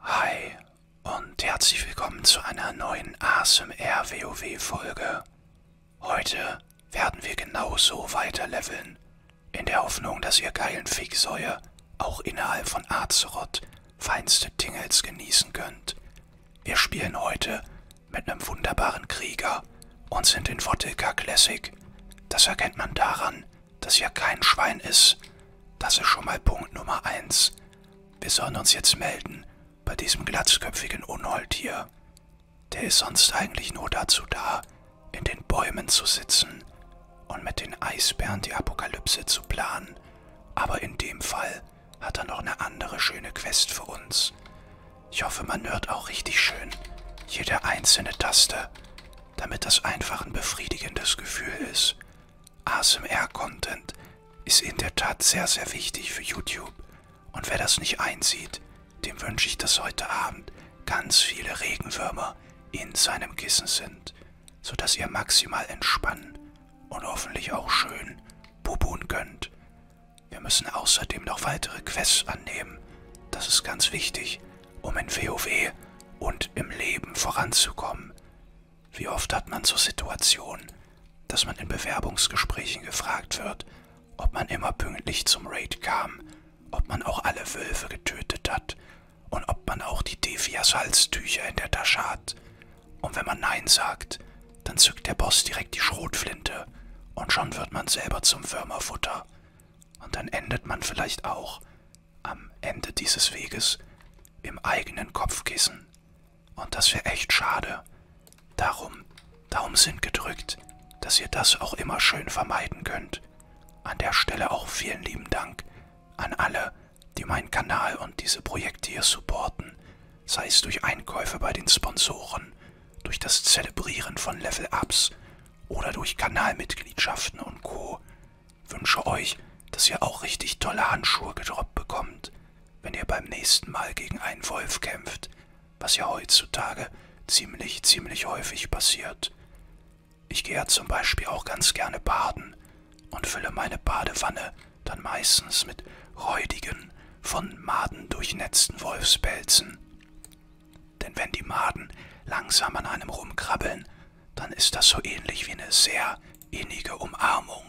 Hi und herzlich willkommen zu einer neuen ASMR WoW Folge. Heute werden wir genauso weiterleveln, in der Hoffnung, dass ihr geilen Fegsäue auch innerhalb von Azeroth feinste Tingles genießen könnt. Wir spielen heute mit einem wunderbaren Krieger und sind in Vottelka Classic. Das erkennt man daran, dass hier kein Schwein ist. Das ist schon mal Punkt Nummer 1. Wir sollen uns jetzt melden bei diesem glatzköpfigen Unhold hier. Der ist sonst eigentlich nur dazu da, in den Bäumen zu sitzen und mit den Eisbären die Apokalypse zu planen. Aber in dem Fall hat er noch eine andere schöne Quest für uns. Ich hoffe, man hört auch richtig schön jede einzelne Taste, damit das einfach ein befriedigendes Gefühl ist. ASMR-Content ist in der Tat sehr, sehr wichtig für YouTube. Und wer das nicht einsieht, dem wünsche ich, dass heute Abend ganz viele Regenwürmer in seinem Kissen sind, sodass ihr maximal entspannen und hoffentlich auch schön bubun könnt. Wir müssen außerdem noch weitere Quests annehmen. Das ist ganz wichtig, um in WoW und im Leben voranzukommen. Wie oft hat man so Situationen, dass man in Bewerbungsgesprächen gefragt wird, ob man immer pünktlich zum Raid kam, ob man auch alle Wölfe getötet hat und ob man auch die Devias Halstücher in der Tasche hat. Und wenn man Nein sagt, dann zückt der Boss direkt die Schrotflinte und schon wird man selber zum Würmerfutter. Und dann endet man vielleicht auch am Ende dieses Weges im eigenen Kopfkissen. Und das wäre echt schade. Darum, Daumen sind gedrückt, dass ihr das auch immer schön vermeiden könnt. An der Stelle auch vielen lieben Dank an alle, die meinen Kanal und diese Projekte hier supporten sei es durch Einkäufe bei den Sponsoren, durch das Zelebrieren von Level-Ups oder durch Kanalmitgliedschaften und Co. Wünsche euch, dass ihr auch richtig tolle Handschuhe gedroppt bekommt, wenn ihr beim nächsten Mal gegen einen Wolf kämpft, was ja heutzutage ziemlich, ziemlich häufig passiert. Ich gehe ja zum Beispiel auch ganz gerne baden und fülle meine Badewanne dann meistens mit räudigen, von Maden durchnetzten Wolfspelzen. Denn wenn die Maden langsam an einem rumkrabbeln, dann ist das so ähnlich wie eine sehr innige Umarmung.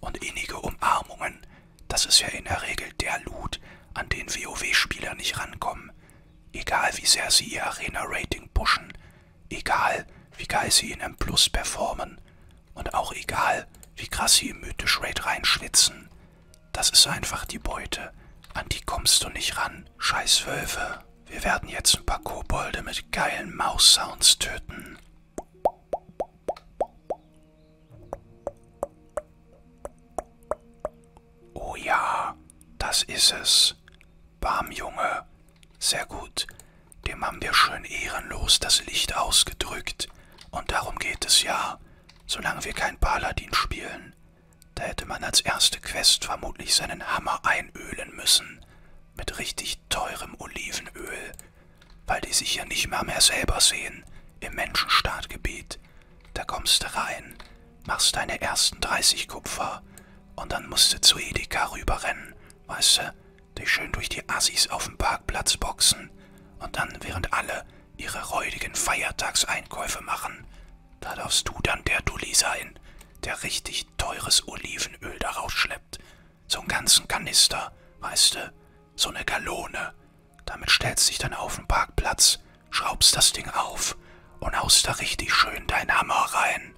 Und innige Umarmungen, das ist ja in der Regel der Loot, an den WoW-Spieler nicht rankommen. Egal wie sehr sie ihr Arena-Rating pushen, Egal, wie geil sie in M Plus performen. Und auch egal, wie krass sie im mythisch Raid reinschwitzen. Das ist einfach die Beute. An die kommst du nicht ran. Scheiß Wölfe. Wir werden jetzt ein paar Kobolde mit geilen Maus-Sounds töten. Oh ja, das ist es. Bam, Junge. Sehr gut. Dem haben wir schön ehrenlos das Licht ausgedrückt. Und darum geht es ja. Solange wir kein Paladin spielen. Da hätte man als erste Quest vermutlich seinen Hammer einölen müssen. Mit richtig teurem Olivenöl. Weil die sich ja nicht mehr mehr selber sehen. Im Menschenstaatgebiet. Da kommst du rein, machst deine ersten 30 Kupfer und dann musst du zu Edeka rüberrennen weißt du, dich schön durch die Assis auf dem Parkplatz boxen und dann, während alle ihre räudigen Feiertagseinkäufe machen, da darfst du dann der Dulli sein, der richtig teures Olivenöl daraus schleppt. So'n ganzen Kanister, weißt du, so eine Gallone. Damit stellst dich dann auf den Parkplatz, schraubst das Ding auf und haust da richtig schön deinen Hammer rein.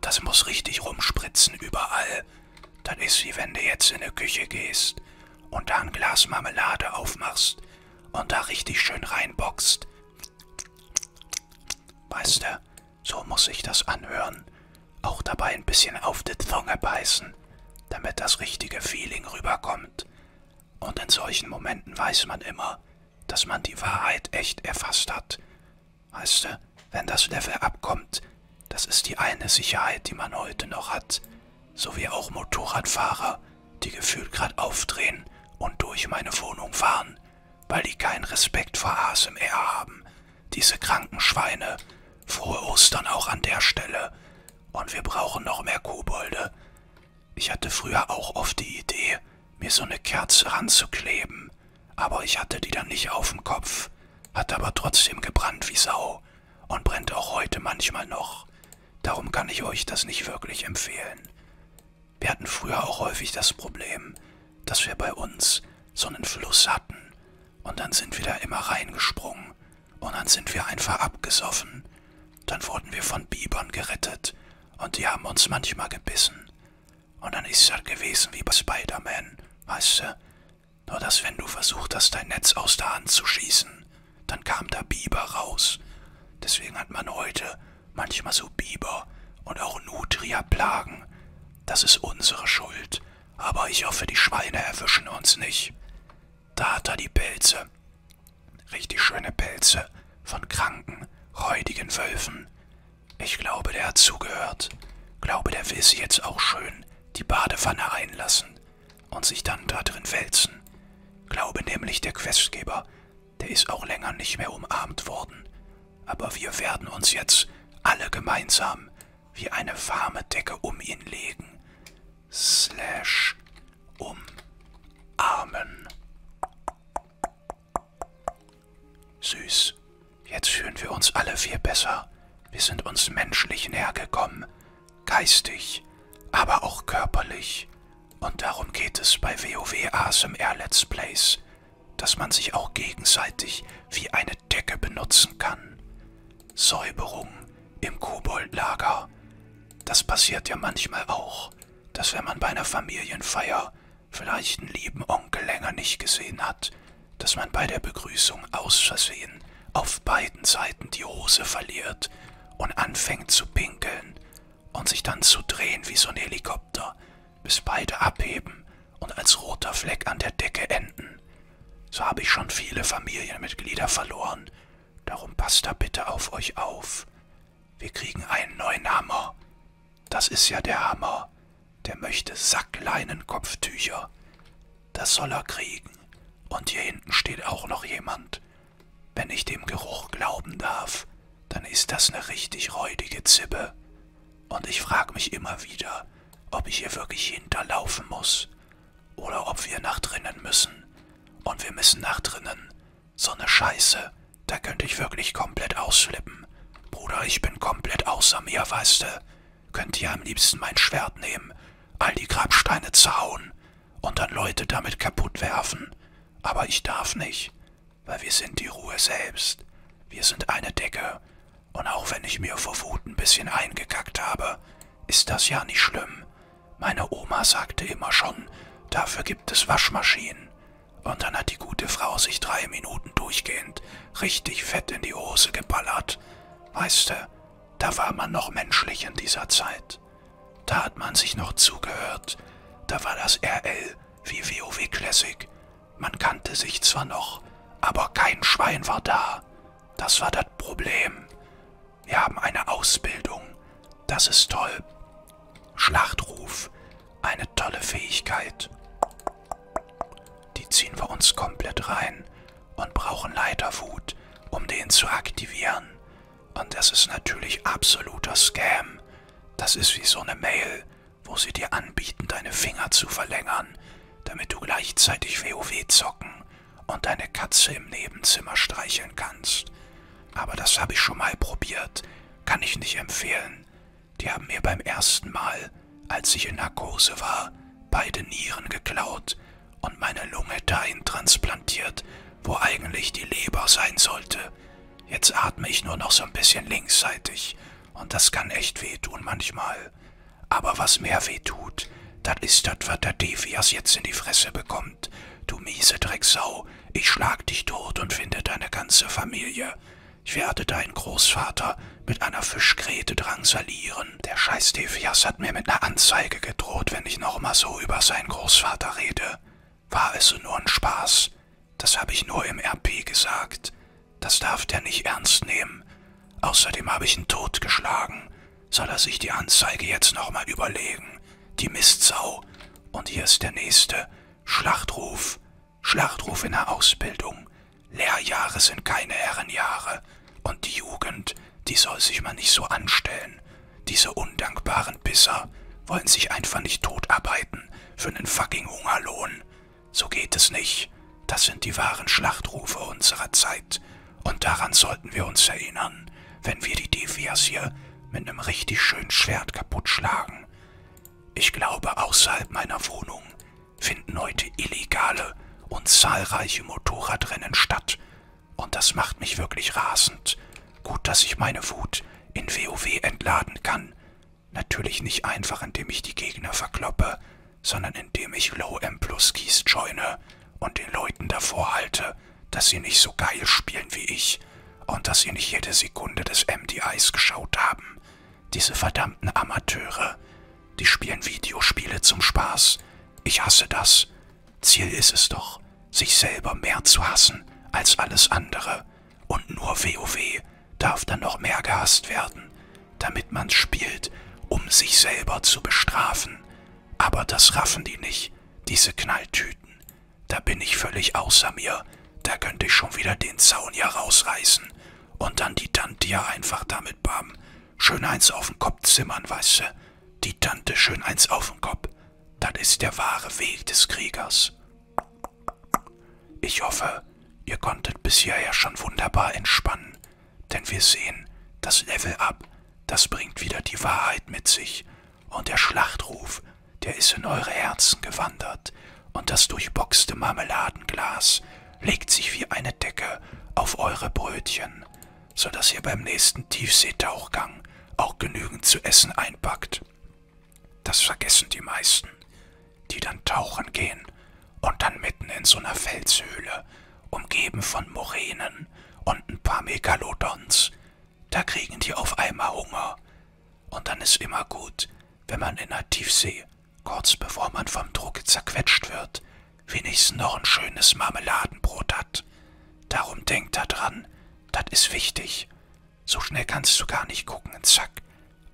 Das muss richtig rumspritzen überall. Das ist wie wenn du jetzt in die Küche gehst und da ein Glas Marmelade aufmachst und da richtig schön reinboxt. Weißt du, so muss sich das anhören. Auch dabei ein bisschen auf die Zunge beißen, damit das richtige Feeling rüberkommt. Und in solchen Momenten weiß man immer, dass man die Wahrheit echt erfasst hat. Weißt du, wenn das Level abkommt, das ist die eine Sicherheit, die man heute noch hat. So wie auch Motorradfahrer, die gefühlt gerade aufdrehen und durch meine Wohnung fahren, weil die keinen Respekt vor ASMR haben. Diese kranken Schweine. Frohe Ostern auch an der Stelle. Und wir brauchen noch mehr Kobolde. Ich hatte früher auch oft die Idee, mir so eine Kerze ranzukleben haben, aber ich hatte die dann nicht auf dem Kopf, hat aber trotzdem gebrannt wie Sau und brennt auch heute manchmal noch. Darum kann ich euch das nicht wirklich empfehlen. Wir hatten früher auch häufig das Problem, dass wir bei uns so einen Fluss hatten und dann sind wir da immer reingesprungen und dann sind wir einfach abgesoffen. Dann wurden wir von Bibern gerettet und die haben uns manchmal gebissen. Und dann ist das halt gewesen wie bei Spider-Man, weißt du? Nur dass wenn du versucht hast, dein Netz aus der Hand zu schießen, dann kam da Biber raus. Deswegen hat man heute manchmal so Biber und auch Nutria-Plagen. Das ist unsere Schuld. Aber ich hoffe, die Schweine erwischen uns nicht. Da hat er die Pilze. Richtig schöne Pelze von kranken, räudigen Wölfen. Ich glaube, der hat zugehört. Glaube, der will sie jetzt auch schön die Badewanne einlassen und sich dann da drin wälzen. Glaube nämlich, der Questgeber, der ist auch länger nicht mehr umarmt worden. Aber wir werden uns jetzt alle gemeinsam wie eine warme Decke um ihn legen. Slash umarmen. Süß, jetzt fühlen wir uns alle viel besser. Wir sind uns menschlich näher gekommen, geistig, aber auch körperlich. Und darum geht es bei WoW ASMR Let's Plays, dass man sich auch gegenseitig wie eine Decke benutzen kann. Säuberung im Koboldlager, das passiert ja manchmal auch dass wenn man bei einer Familienfeier vielleicht einen lieben Onkel länger nicht gesehen hat, dass man bei der Begrüßung aus Versehen auf beiden Seiten die Hose verliert und anfängt zu pinkeln und sich dann zu drehen wie so ein Helikopter, bis beide abheben und als roter Fleck an der Decke enden. So habe ich schon viele Familienmitglieder verloren. Darum passt da bitte auf euch auf. Wir kriegen einen neuen Hammer. Das ist ja der Hammer. Der möchte Sackleinenkopftücher. Das soll er kriegen. Und hier hinten steht auch noch jemand. Wenn ich dem Geruch glauben darf, dann ist das eine richtig räudige Zippe. Und ich frage mich immer wieder, ob ich hier wirklich hinterlaufen muss oder ob wir nach drinnen müssen. Und wir müssen nach drinnen. So eine Scheiße. Da könnte ich wirklich komplett ausflippen. Bruder, ich bin komplett außer mir, weißt du. Könnt ihr am liebsten mein Schwert nehmen, all die Grabsteine zerhauen und dann Leute damit kaputt werfen. Aber ich darf nicht, weil wir sind die Ruhe selbst. Wir sind eine Decke. Und auch wenn ich mir vor Wut ein bisschen eingekackt habe, ist das ja nicht schlimm. Meine Oma sagte immer schon, dafür gibt es Waschmaschinen. Und dann hat die gute Frau sich drei Minuten durchgehend richtig fett in die Hose geballert. Weißt du, da war man noch menschlich in dieser Zeit. Da hat man sich noch zugehört. Da war das RL wie WoW Classic. Man kannte sich zwar noch, aber kein Schwein war da. Das war das Problem. Wir haben eine Ausbildung. Das ist toll. Schlachtruf. Eine tolle Fähigkeit. Die ziehen wir uns komplett rein und brauchen Leiterwut, um den zu aktivieren. Und das ist natürlich absoluter Scam. Das ist wie so eine Mail, wo sie dir anbieten, deine Finger zu verlängern, damit du gleichzeitig WoW zocken und deine Katze im Nebenzimmer streicheln kannst. Aber das habe ich schon mal probiert, kann ich nicht empfehlen. Die haben mir beim ersten Mal, als ich in Narkose war, beide Nieren geklaut und meine Lunge dahin transplantiert, wo eigentlich die Leber sein sollte. Jetzt atme ich nur noch so ein bisschen linksseitig und das kann echt wehtun manchmal. Aber was mehr weh tut, das ist das, was der Devias jetzt in die Fresse bekommt. Du miese Drecksau, ich schlag dich tot und finde deine ganze Familie. Ich werde deinen Großvater mit einer Fischgräte drangsalieren. Der scheiß Devias hat mir mit einer Anzeige gedroht, wenn ich nochmal so über seinen Großvater rede. War es nur ein Spaß. Das habe ich nur im RP gesagt. Das darf der nicht ernst nehmen. Außerdem habe ich ihn totgeschlagen. Soll er sich die Anzeige jetzt nochmal überlegen? Die Mistsau. Und hier ist der nächste. Schlachtruf. Schlachtruf in der Ausbildung. Lehrjahre sind keine Herrenjahre. Und die Jugend, die soll sich mal nicht so anstellen. Diese undankbaren Pisser wollen sich einfach nicht totarbeiten für einen fucking Hungerlohn. So geht es nicht. Das sind die wahren Schlachtrufe unserer Zeit. Und daran sollten wir uns erinnern, wenn wir die Devias hier mit einem richtig schönen Schwert kaputt schlagen. Ich glaube, außerhalb meiner Wohnung finden heute illegale und zahlreiche Motorradrennen statt. Und das macht mich wirklich rasend. Gut, dass ich meine Wut in WoW entladen kann. Natürlich nicht einfach, indem ich die Gegner verkloppe, sondern indem ich Low M plus Keys joine und den Leuten davor halte, dass sie nicht so geil spielen wie ich und dass sie nicht jede Sekunde des MDIs geschaut haben. Diese verdammten Amateure, die spielen Videospiele zum Spaß. Ich hasse das. Ziel ist es doch, sich selber mehr zu hassen als alles andere. Und nur WoW darf dann noch mehr gehasst werden, damit man's spielt, um sich selber zu bestrafen. Aber das raffen die nicht, diese Knalltüten. Da bin ich völlig außer mir. Da könnte ich schon wieder den Zaun hier rausreißen und dann die Tante ja einfach damit bam. Schön eins auf den Kopf zimmern, weißt du. Die Tante schön eins auf den Kopf. Das ist der wahre Weg des Kriegers. Ich hoffe, ihr konntet bis hierher schon wunderbar entspannen, denn wir sehen, das Level Up, das bringt wieder die Wahrheit mit sich und der Schlachtruf, der ist in eure Herzen gewandert und das durchboxte Marmeladenglas legt sich wie eine Decke auf eure Brötchen, sodass ihr beim nächsten Tiefseetauchgang auch genügend zu essen einpackt. Das vergessen die meisten die dann tauchen gehen und dann mitten in so einer Felshöhle, umgeben von Moränen und ein paar Megalodons. Da kriegen die auf einmal Hunger. Und dann ist immer gut, wenn man in der Tiefsee, kurz bevor man vom Druck zerquetscht wird, wenigstens noch ein schönes Marmeladenbrot hat. Darum denkt da dran, das ist wichtig. So schnell kannst du gar nicht gucken. Zack,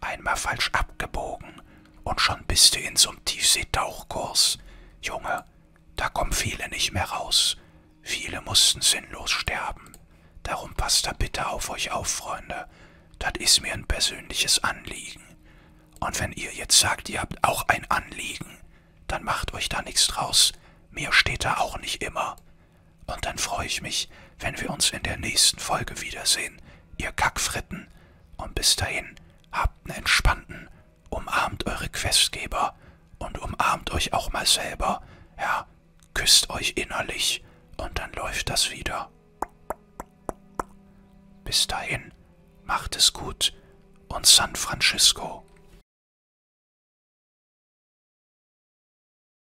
einmal falsch abgebogen und schon bist du in so einem Tiefseetauchkurs. Junge, da kommen viele nicht mehr raus. Viele mussten sinnlos sterben. Darum passt da bitte auf euch auf, Freunde. Das ist mir ein persönliches Anliegen. Und wenn ihr jetzt sagt, ihr habt auch ein Anliegen, dann macht euch da nichts draus. Mir steht da auch nicht immer. Und dann freue ich mich, wenn wir uns in der nächsten Folge wiedersehen, ihr Kackfritten. Und bis dahin, habt einen entspannten, umarmt eure Questgeber und umarmt euch auch mal selber. Ja, küsst euch innerlich und dann läuft das wieder. Bis dahin, macht es gut und San Francisco.